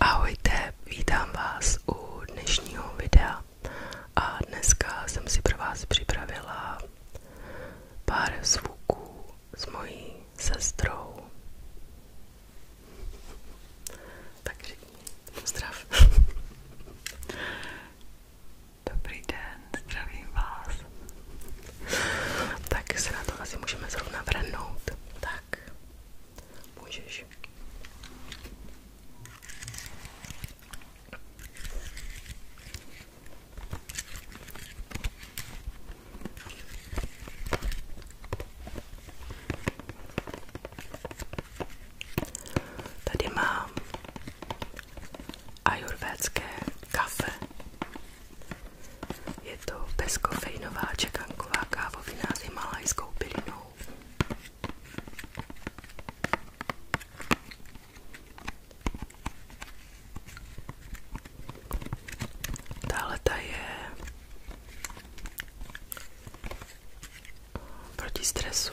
Ahojte, vítám vás u dnešního videa a dneska jsem si pro vás připravila pár zvuků s mojí sestrou. Tak řekni, pozdrav. Dobrý den, zdravím vás. Tak se na to asi můžeme zrovna vrhnout. Tak, Můžeš. Tady mám ajurvédské kafe je to bezkofeinová čekanková kávovina s himalajskou bylinou. Tahle ta je proti stresu.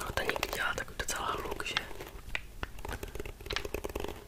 No to někdy dělá tak docela hluk, že?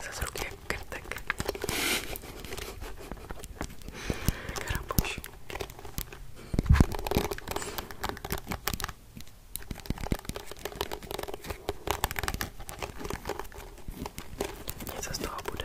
se z ruky jak krtek. Krabuš. Něco z toho bude.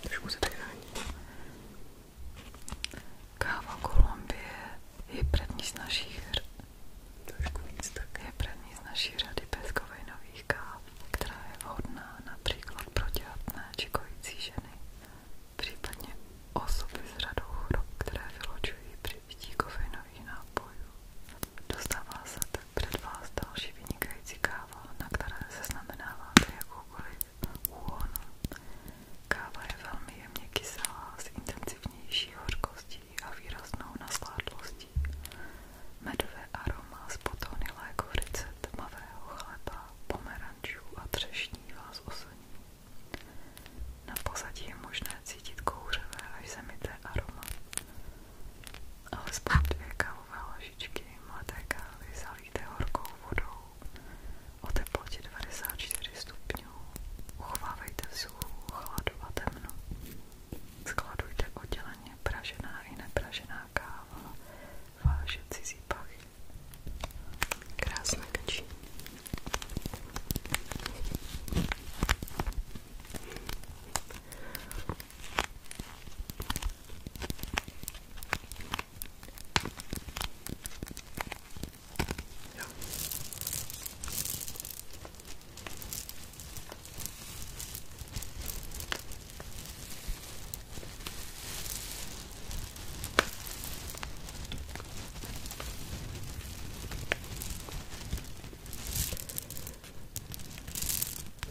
Trošku se tady hání. Káva Kolumbie je první z našich trošku víc tak je první z naší řady bezkovejnových káv, která je vhodná například pro těhotné či kojící ženy případně osoby s řadou chorob, které vylučují připití kofeinových nápojů. Dostává se tak před vás další vynikající káva, na které se znamenáváte jakoukoliv úhonu. Káva je velmi jemně kyselá, s intenzivnější hořkostí a výraznou naskládlostí. Medové aroma z potony lékovice, tmavého chleba, pomera pomerančů a třešní vás oslní. Na pozadí je možné cítit kouřové až zemité aroma. Alespoň dvě kávové lžičky mladé kávy zalíte horkou vodou o teplotě 94 stupňů. Uchvávejte vzduchu, chladu a temno. Skladujte odděleně pražená i nepražená káva váže cizí pachy. Krásné kačí. Jo.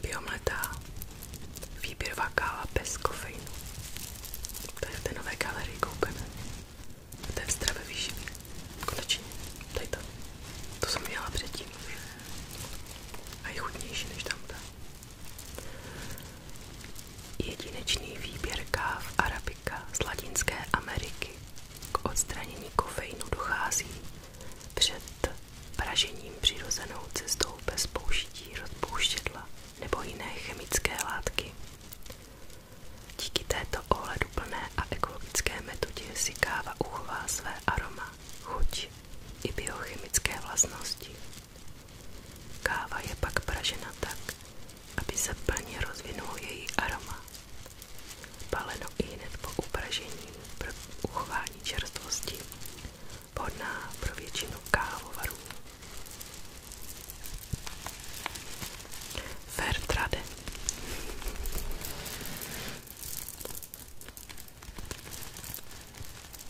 Biomletá výběrová káva bez kofeinu. To je v té nové galerii koukeme. To je v stravě výživy. Konečně. To je to. To jsem měla předtím. A je chutnější než tam ta. Jedinečný výběr káv arabika z Latinské Ameriky. K odstranění kofeinu dochází před pražením přirozenou cestou bez použití nebo jiné chemické látky. Díky této ohleduplné a ekologické metodě si káva uchová své aroma, chuť i biochemické vlastnosti. Káva je pak pražena tak, aby se plně rozvinul její aroma. Paleno i hned po upražení pro uchování čerstvosti, vhodná pro většinu kávovarů. Fairtrade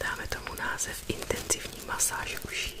Dáme tomu název intenzivní masáž uší.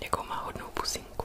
Jakou má hodnou pusinku.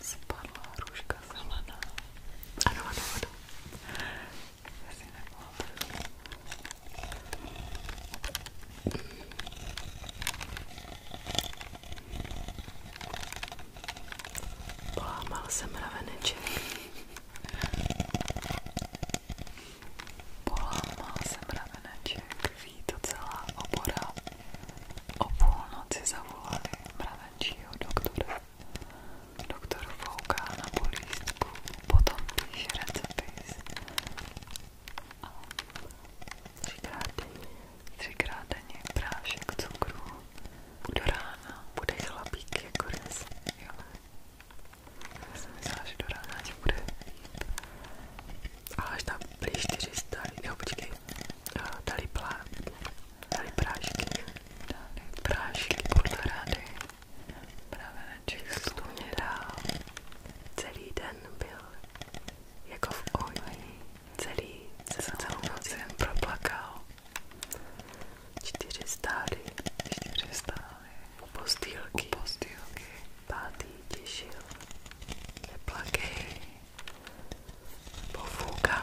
spadla hruška zelená. Ano, ano, ano. Asi nebyla první. Polámal jsem raveneček. Polámal jsem raveneček. Ví to celá obora. O půlnoci zavolali mraveneček nejmladšího doktora. Doktor fouká na polístku, potom píše recepty. Třikrát denně, třikrát denně prášek cukru. Do rána bude chlapík jako rys. Jo. Já jsem myslela, že do rána tě bude. Ale až tam byli 400, jo počkej, dali plán, dali prášky, dali prášky podle rady, praveneček stůně dál, celý den byl jako celý, celou noc proplakal, čtyři stály, čtyři stály, postýlky, postýlky, pátý těšil, neplakej, pofůkám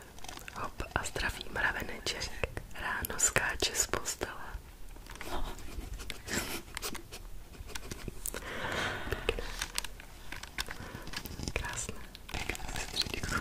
Hop a zdravý mraveneček ráno skáče z postele. No. Pěkné. Krásné. Pěkné sestřičko.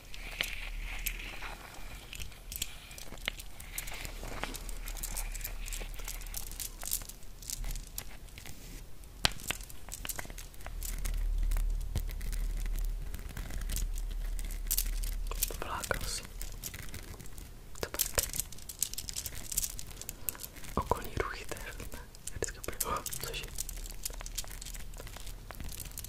To byla krosy. To byl Okolní ruchy to je hrozné. Vždycky úplně, oh, což je.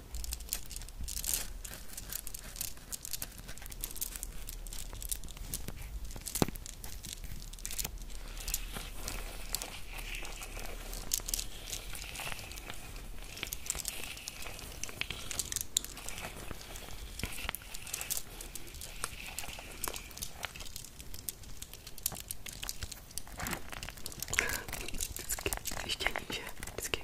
Das geht, ich denke, das geht.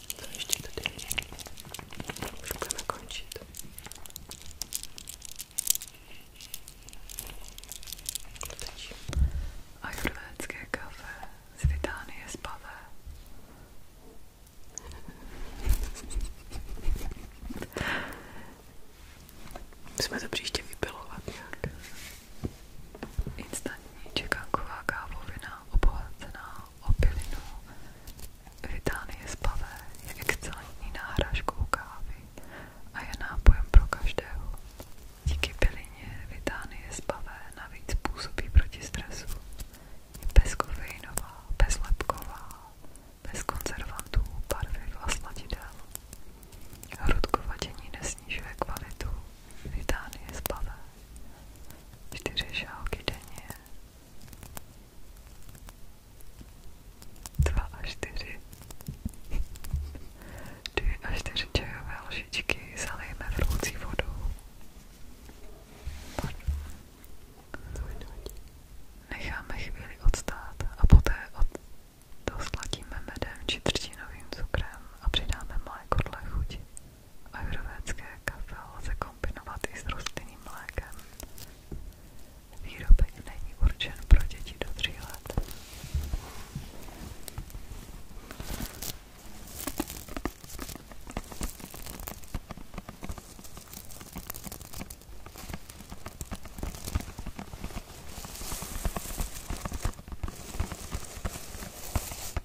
to ještě tady už budeme končit. Teď ajurvédské kafe z Vitánie z pavé. Musíme to příště vypilovat nějak. Instantní čekanková kávovina obohacená obilinu. V Itálii z pavé je excelentní náhražkou kávy a je nápojem pro každého. Díky bylině v Itálii z pavé navíc působí proti stresu. Je bezkofeinová, bezlepková, bez konzervantů, barviv a sladidel. Hrudkovadění nesnižuje kvalitu Vitánie z pavé. Čtyři šálky denně Dva a čtyři. Dvě a čtyři čajové lžičky zalijeme vroucí vodou. Necháme chvíli odstát a poté od... dosladíme medem či třtinovým cukrem a přidáme mléko dle chuti. Ajurvédské kafe lze kombinovat i s rostlinným mlékem. Výrobek není určen pro děti do 3 let.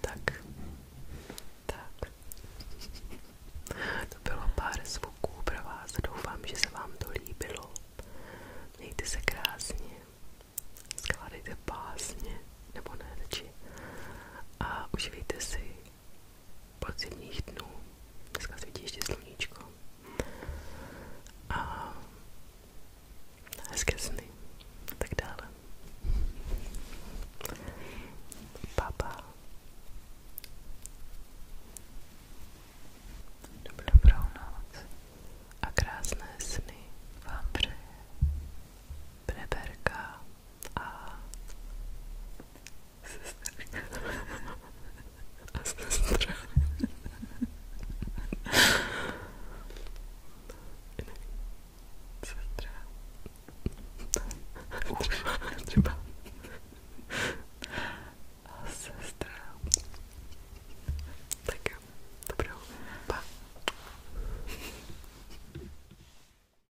Tak, tak. To bylo pár zvuků pro vás. Doufám, že se vám to líbilo. Mějte se krásně, skládejte pásně, nebo ne, radši. A užijte si podzimních dnů. Dneska svítí ještě sluníčko. A hezké sny. A tak dále. Papa. Dobrou noc a krásné sny vám přeje Preberka. a sesterka a sestra sestra ufa, chyba a sestra tak, dobra, pa